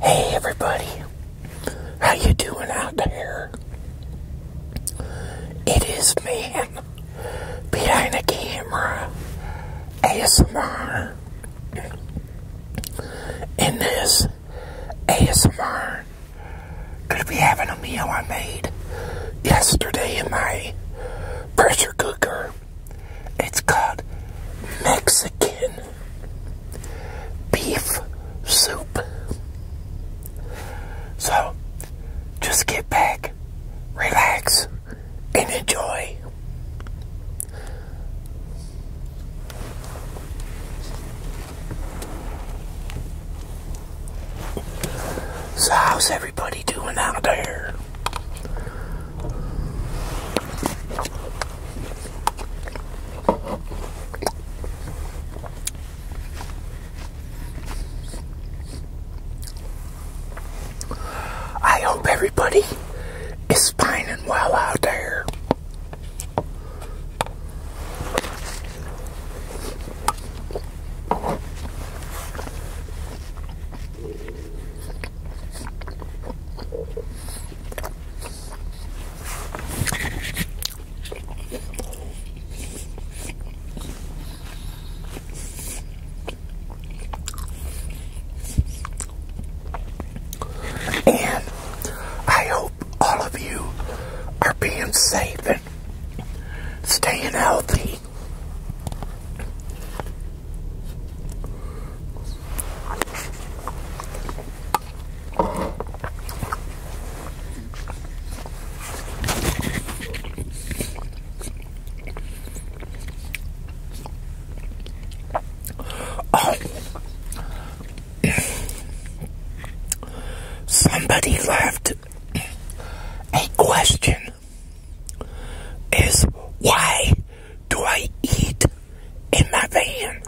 Hey everybody, how you doing out there? It is man behind the camera, ASMR, and this ASMR gonna be having a meal I made yesterday in my pressure cooker. It's called Mexican beef soup. So, just get back, relax, and enjoy. So how's everybody doing out there? I hope everybody is fine and well out there. And I hope all of you are being safe and staying healthy. Oh. Somebody left a question is why do I eat in my van?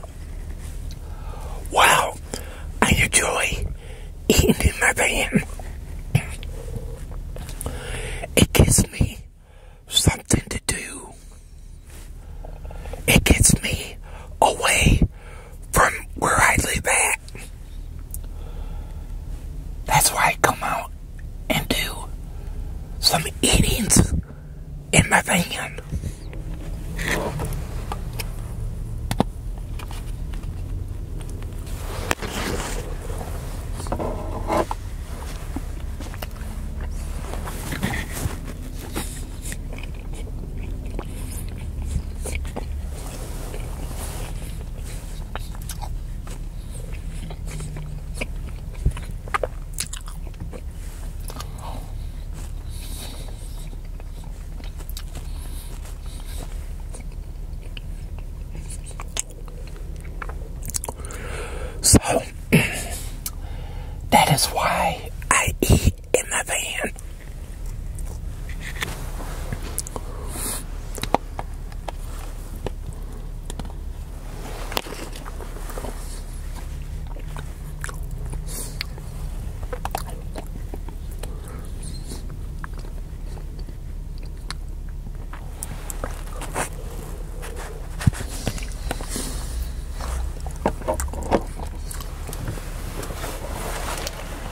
Well, I enjoy eating in my van. It gives me something to do. It gets me away from where I live at. That's why I come out and do some eating in my van. So that is why I eat night in the van.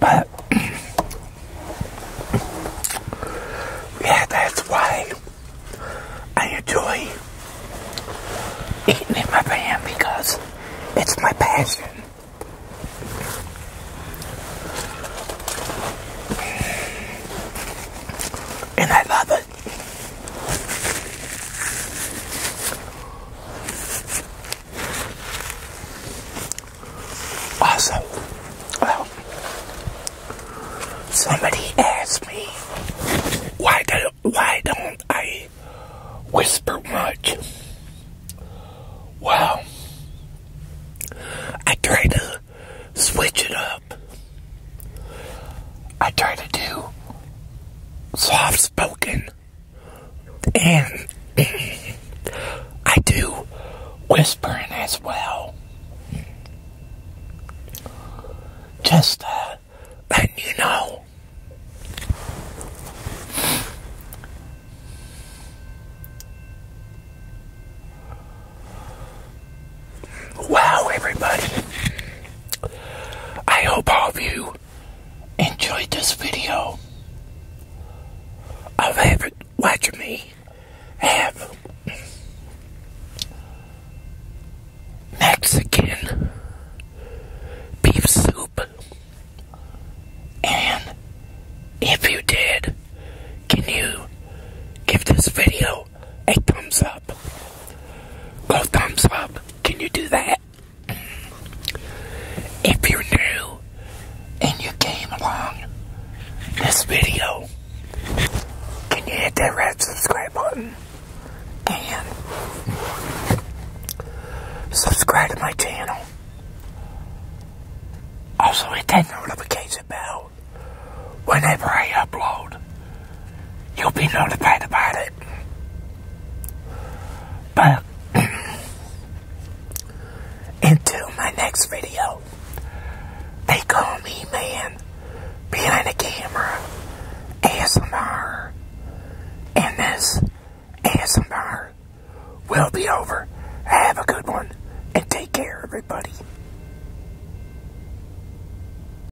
But yeah, that's why I enjoy eating in my van because it's my passion. And I love it. Awesome. well, somebody asked me why do why don't I whisper much? Well, I try to switch it up. I try to do soft spoken and I do whispering as well. Just uh, letting you know. Wow, everybody. I hope all of you you enjoyed this video of having, watching me have Mexican beef soup. And if you did, can you give this video a thumbs up? Go thumbs up. Can you do that? If you're new and you came along this video, can you hit that red subscribe button? And subscribe to my channel. Also hit that notification bell whenever I upload you'll be notified about it. But until my next video, they call me man behind the camera ASMR. And this ASMR will be over. Have a good one and take care, everybody.